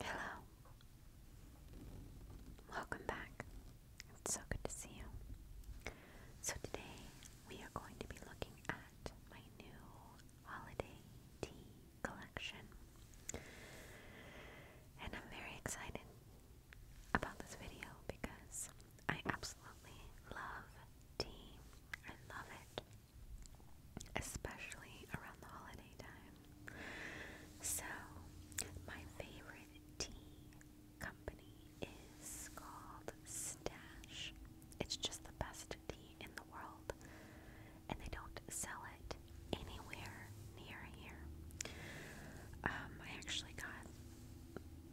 Hello. Welcome back. It's so good to see you. So, today we are going to be looking at my new holiday tea collection. And I'm very excited about this video because I absolutely love tea. I love it, especially around the holiday time. So, my favorite tea company is called Stash. It's just the best tea in the world, and they don't sell it anywhere near here. Um, I actually got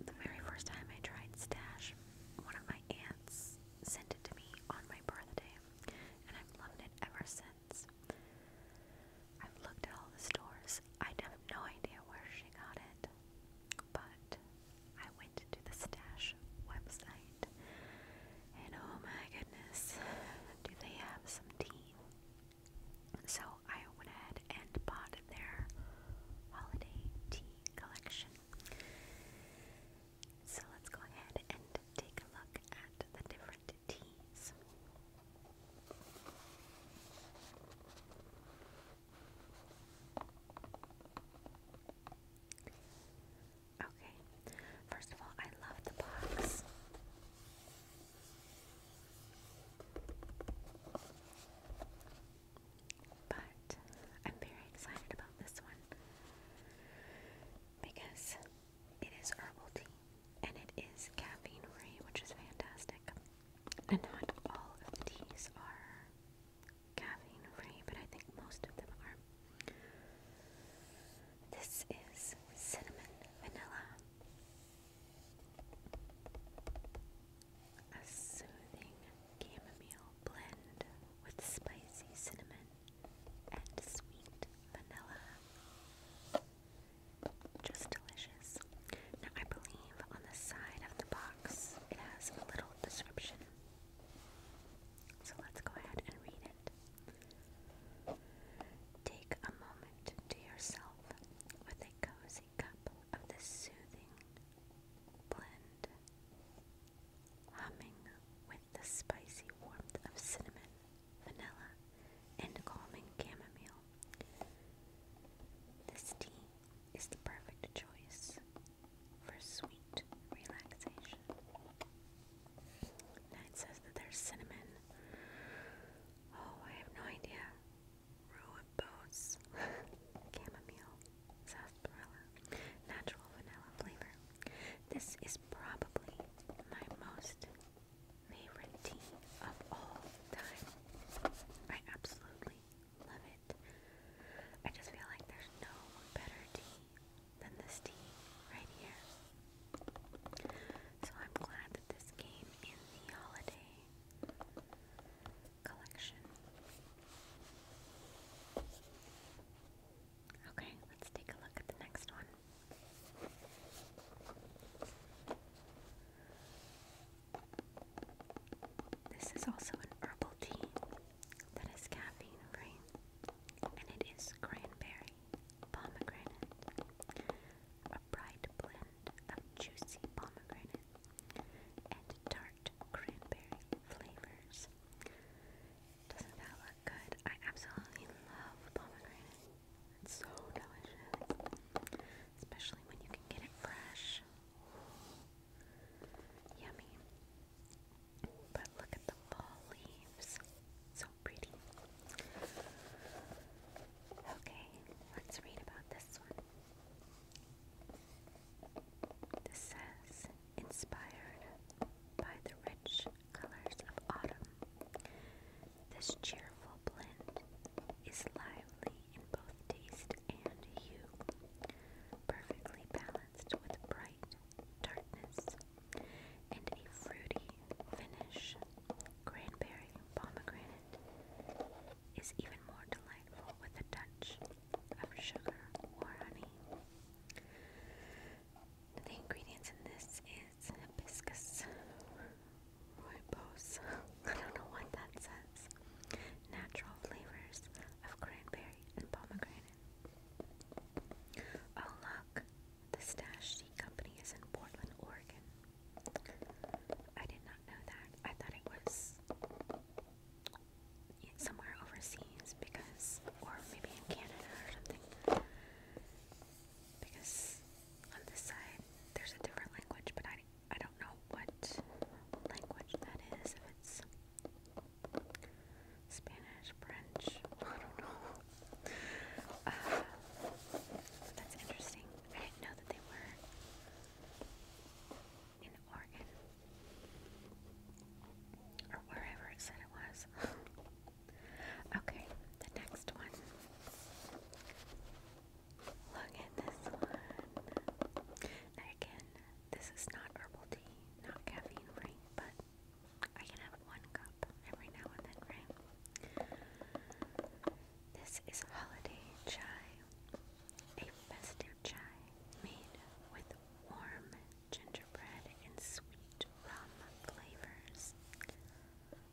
the very first time I tried Stash, one of my aunts sent it to me on my birthday, and I've loved it ever since. I've looked at all the stores. I have no idea where she got it, but I went to the Stash website, and oh my goodness, do they have some tea? So I went ahead and bought their holiday tea collection. So let's go ahead and take a look at the different teas. Okay, first of all, I love the box. But I'm very excited about this one because it is herbal tea and it is caffeine free, which is fantastic. And not all of the teas are caffeine free, but I think most of them are. This is cinnamon vanilla a soothing chamomile blend with spicy cinnamon and sweet vanilla. Just delicious. Now, I believe on the side of the box it has a little description. So let's go ahead and read it. Take a moment to yourself with a cozy cup of the soothing blend, humming with the spicy warmth of cinnamon, vanilla, and calming chamomile. This tea is the perfect choice for sweet relaxation. Now it says that there's cinnamon. Oh, I have no idea rooibos, chamomile, sarsaparilla, natural vanilla flavor. This is probably my most favorite tea of all time. I absolutely love it. I just feel like there's no better tea than this tea right here. So I'm glad that this came in the holiday collection. Okay, let's take a look at the next one. This is also an herbal tea that is caffeine free, and it is cranberry, pomegranate, bright blend of juicy pomegranate and tart cranberry flavors. Doesn't that look good? I absolutely love pomegranate. It's so delicious, especially when you can get it fresh. Yummy. But look at the fall leaves. So pretty. Okay, let's read about this one. This says, inspired by the rich colors of autumn, this cheerful blend is lively in both taste and hue, perfectly balanced with bright darkness and a fruity finish. Cranberry, pomegranate, is even more delightful with a touch of sugar or honey. The ingredients in this is hibiscus rooibos, I don't know what that says, natural flavors of cranberry and pomegranate. Oh look, the Stash Tea Company is in Portland, Oregon. I did not know that. I thought it was somewhere overseas because, or maybe in Canada or something. Because on this side there's a different language, but I, I don't know what language that is. If it's Spanish, French, I don't know. Uh, that's interesting. I didn't know that they were in Oregon or wherever it said it was. okay, the next one. Look at this one. again, this is not herbal tea, not caffeine free, but I can have one cup every now and then, right? This is holiday chai. A festive chai made with warm gingerbread and sweet rum flavors.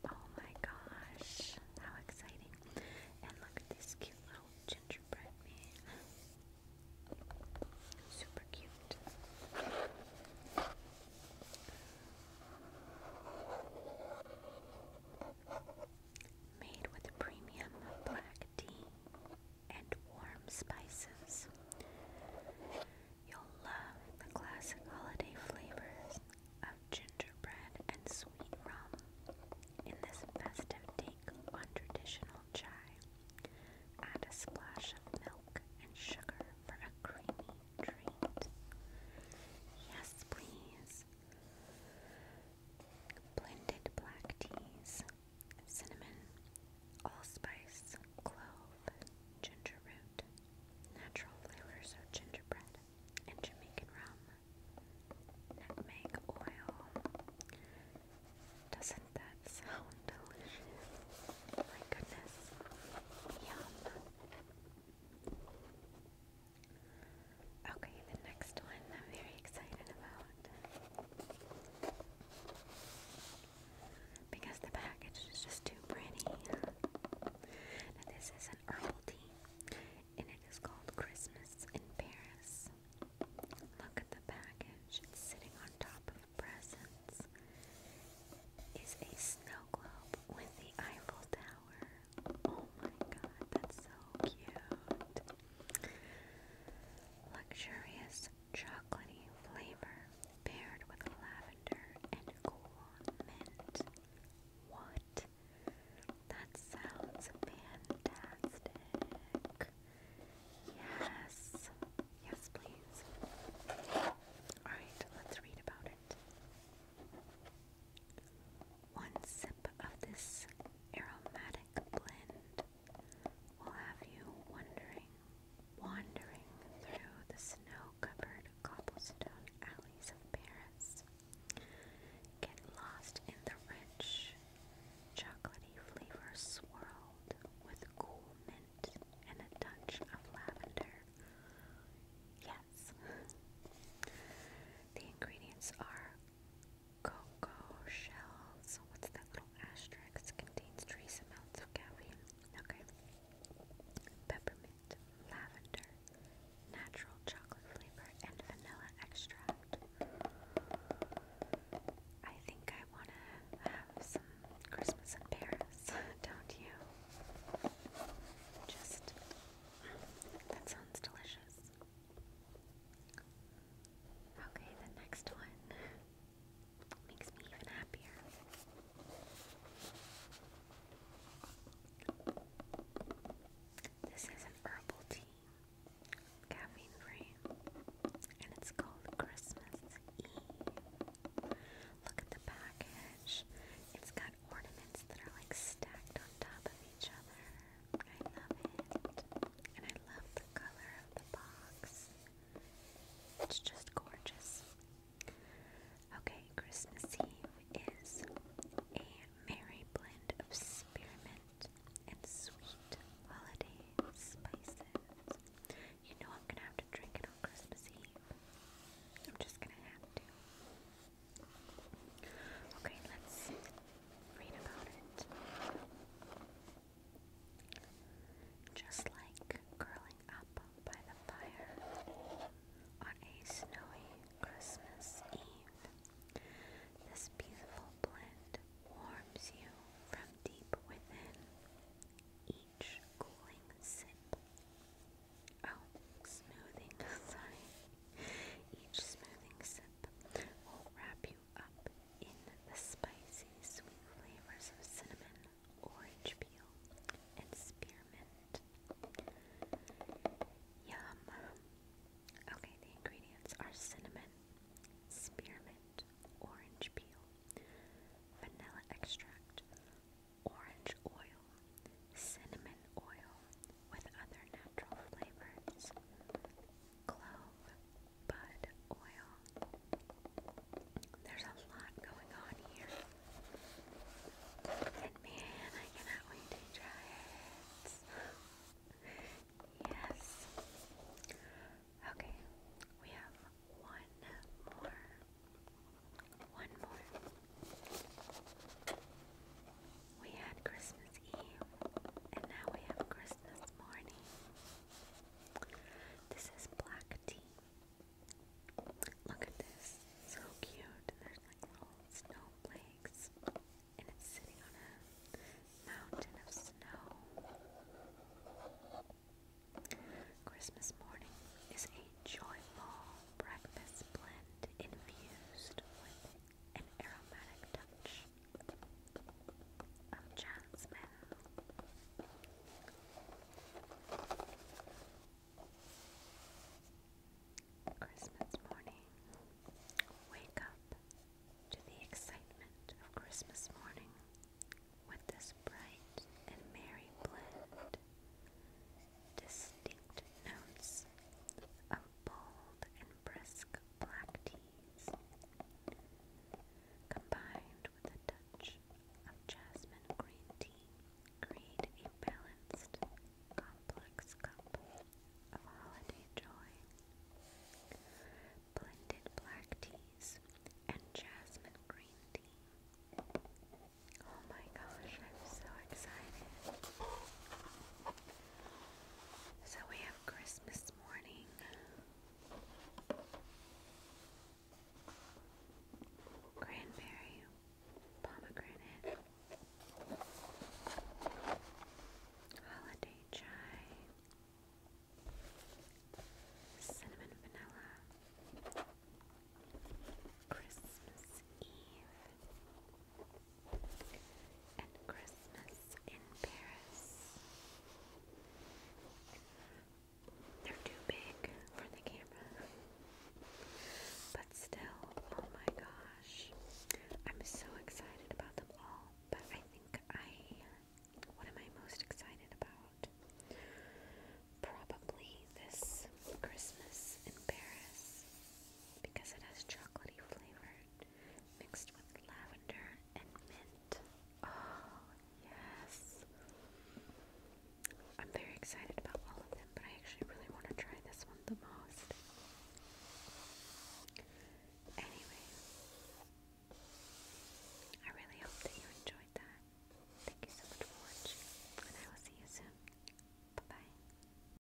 Oh my gosh, how exciting! And look at this cute little gingerbread man. Super cute. Made with premium black tea and warm spices. You'll love the classic holiday flavors of gingerbread and sweet rum in this festive take on traditional chai. Add a splash of milk and sugar for a creamy treat. Yes, please blended black teas, cinnamon, allspice, clove, ginger root, natural flavors of gingerbread, and Jamaican rum, nutmeg oil. Doesn't that sound delicious? My goodness. Yum. Okay, the next one I'm very excited about. Because the package is just too pretty. this is an herbal tea, and it is called Christmas in Paris. Look at the package, sitting on top of the presents. Is a snow globe with the Eiffel Tower. Oh my god, that's so cute. Luxurious chocolatey flavor paired with lavender and cool mint. What? That sounds fantastic. Yes. Yes, please. Alright, let's read about it. One sip of this aromatic blend will have you wondering, wandering through the snow-covered cobblestone alleys of Paris. Get lost in the rich, chocolatey flavor swirled with cool mint and a touch of lavender. Yes. The ingredients are Cocoa shells. What's that little asterisk? Contains trace amounts of caffeine. Okay. Peppermint, lavender, natural chocolate flavor, and vanilla extract. I think I want to have some Christmas in Paris, don't you? Just. That sounds delicious. Okay, the next one makes me even happier. This is an herbal tea, caffeine free, and it's called Christmas Eve. Look at the package, it's got ornaments that are like stacked on top of each other. I love it. And I love the color of the box. It's just gorgeous. Okay, Christmas Eve is a merry blend of spearmint and sweet holiday spices. You know I'm gonna have to drink it on Christmas Eve. I'm just gonna have to. Okay, let's read about it. Just like curling up by the fire on a snowy Christmas Eve, this beautiful blend warms you from deep within each cooling sip. Oh, smoothing, sorry. Each smoothing sip will wrap you up in the spicy, sweet flavors of cinnamon, orange peel, and spearmint. Yum! Okay, the ingredients are cinnamon, spearmint, orange peel, vanilla extract, orange oil, cinnamon oil, with other natural flavors, clove, bud oil. There's a lot going on here. And man, I cannot wait to try it. yes. Okay, we have one more. One more. We had Christmas Eve, and now we have Christmas morning. This is black tea. Look at this. So cute. There's like little snowflakes, and it's sitting on a mountain of snow. Christmas morning is a joyful breakfast blend infused with an aromatic touch of jasmine. Christmas morning. Wake up to the excitement of Christmas morning with this bright and merry blend. Distinct notes of bold and brisk black teas, combined with a touch of jasmine green tea, create a balanced, complex cup of holiday joy. Blended black teas and jasmine green tea. Oh my gosh, I'm so excited. So we have Christmas morning. Cranberry, pomegranate, holiday chai, cinnamon vanilla, Christmas Eve, and Christmas in Paris. They're too big for the camera. But still, oh my gosh. I'm so excited about them all. But I think I. What am I most excited about? Probably this Christmas in Paris because it has chocolatey flavor mixed with lavender and mint. Oh, yes. I'm very excited about all of them, but I actually really want to try this one the most. Anyway, I really hope that you enjoyed that. Thank you so much for watching, and I will see you soon. Bye bye.